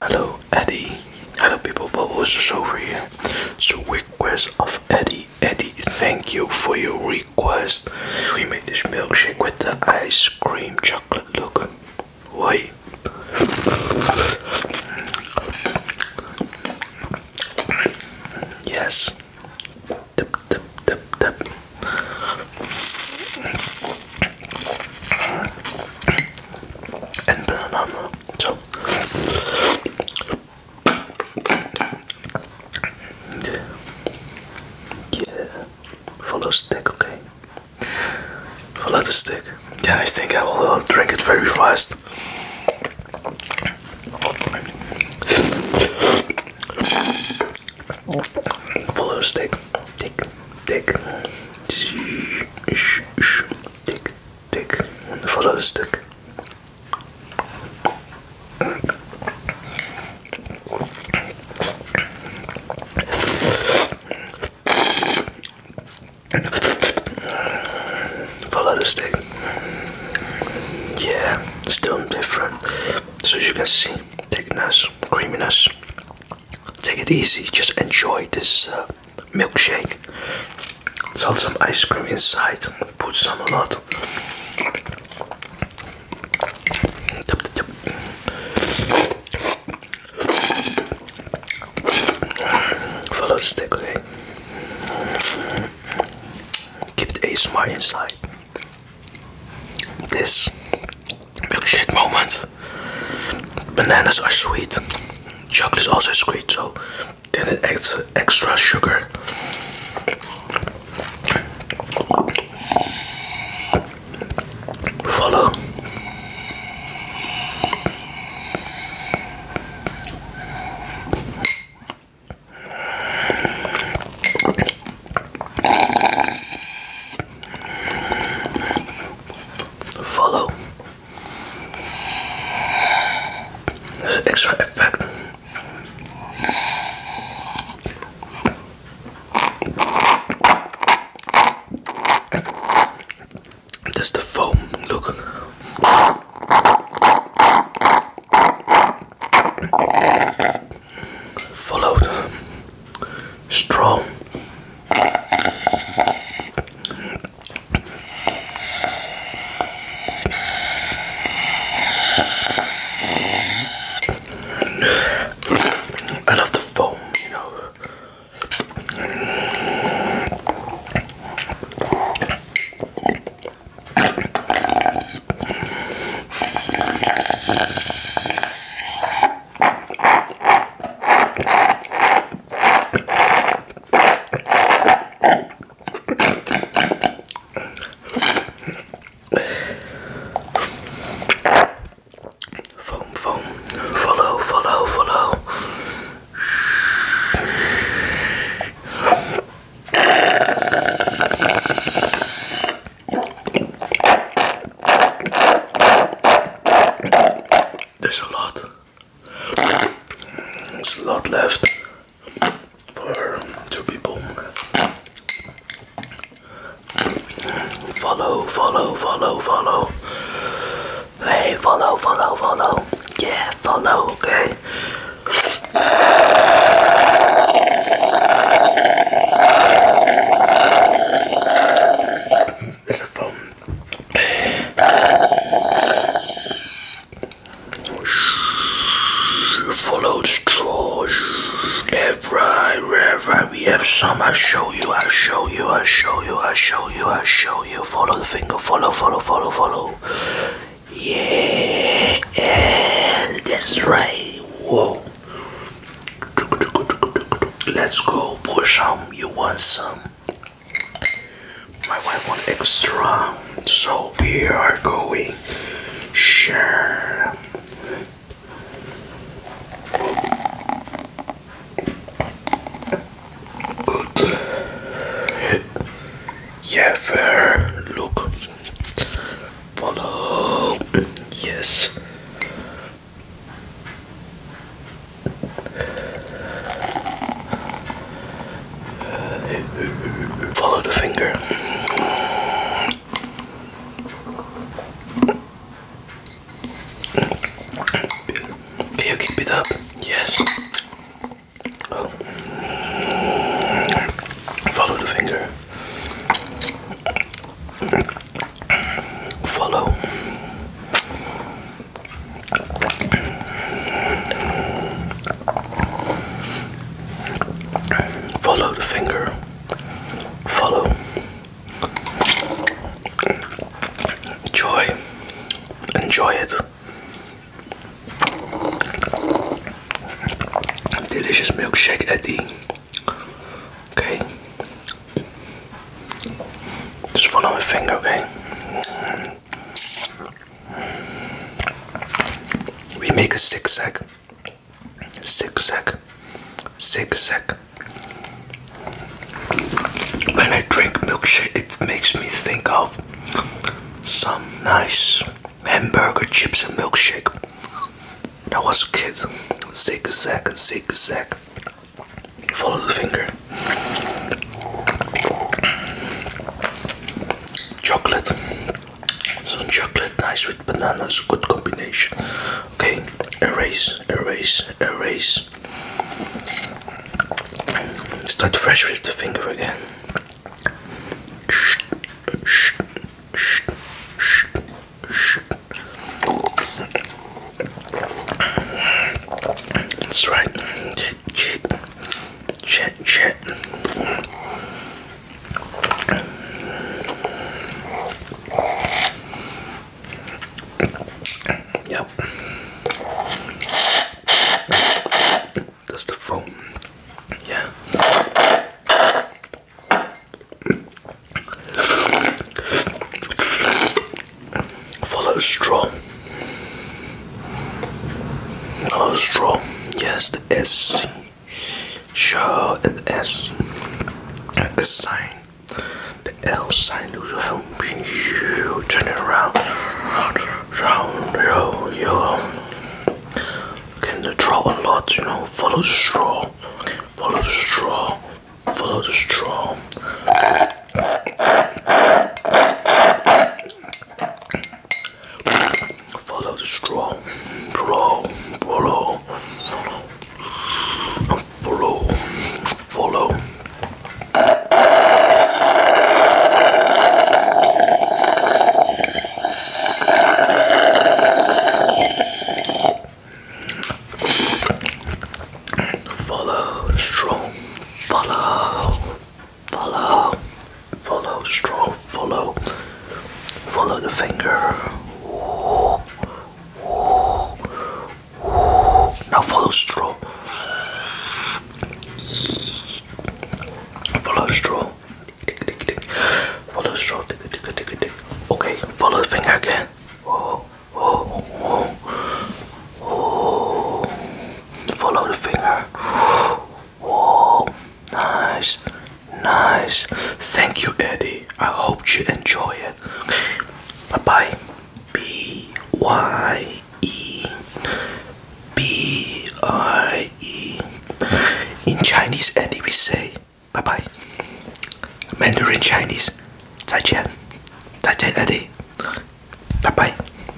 Hello Eddie. Hello people, Bubbles is over here. So request of Eddie. Eddie, thank you for your request. We made this milkshake with the ice cream chocolate look. Why? Yes. Tap tap tap tap. And banana. Yeah. Follow the stick, okay. Follow the stick. Yeah, I think I will uh, drink it very fast. Follow the stick. Tick, tick, tick, tick. Follow the stick. Follow the stick. Yeah, still different. So as you can see, thickness, creaminess. Take it easy, just enjoy this uh, milkshake. Salt some ice cream inside, put some a lot. Follow the stick, it Keep the ASMR inside. This milkshake moment. Bananas are sweet. Chocolate is also sweet, so then it adds extra sugar follow follow there's an extra effect that's the foam, look. Follow the I love the foam, you know. Foam, foam. Follow, follow, follow. There's a lot. There's a lot left for two people. Follow, follow, follow, follow. Hey, follow, follow, follow. Yeah, follow, okay. There's a phone. Follow the straw. Left, right, left, right. We have some. i show you. i show you. i show you. i show you. i show you. Follow the finger. Follow, follow, follow, follow. Yeah. that's right. Whoa. Let's go. Push some. You want some? I want wants extra. So we are going. Sure. Yeah, fair. Look. Follow. Yes. Follow the finger. Can you keep it up? Yes. Oh. Follow the finger. Follow. Follow the finger. Follow joy. Enjoy it. Delicious milkshake Eddie. okay. Just follow my finger, okay? We make a zigzag, zigzag, zigzag. When I drink milkshake, it makes me think of some nice hamburger chips and milkshake. When I was a kid, zigzag, zigzag. Follow the finger. Chocolate. Some chocolate nice with bananas, good combination. Okay, erase, erase, erase. Start fresh with the finger again. That's right. Shit, shit. Yep. That's the foam. Yeah. Follow straw. Oh, straw. Yes, the S. Sure, the S. The sign. The L sign will help you turn it around. Round, yo, yo. Can okay, draw a lot, you know. Follow the straw. Follow the straw. Follow the straw. Follow the straw. Follow, follow, follow, follow. Follow, strong, follow, Follow, follow, straw, follow, follow the finger. Ooh, ooh, ooh. Now follow straw. Follow the straw. Follow the straw. Okay, follow the finger again. Follow the finger. Whoa, nice, nice. Thank you, Eddie. I hope you enjoy it. Bye bye. B Y E B I E. In Chinese, Eddie, we say bye bye. Mandarin Chinese, Eddie. Bye bye.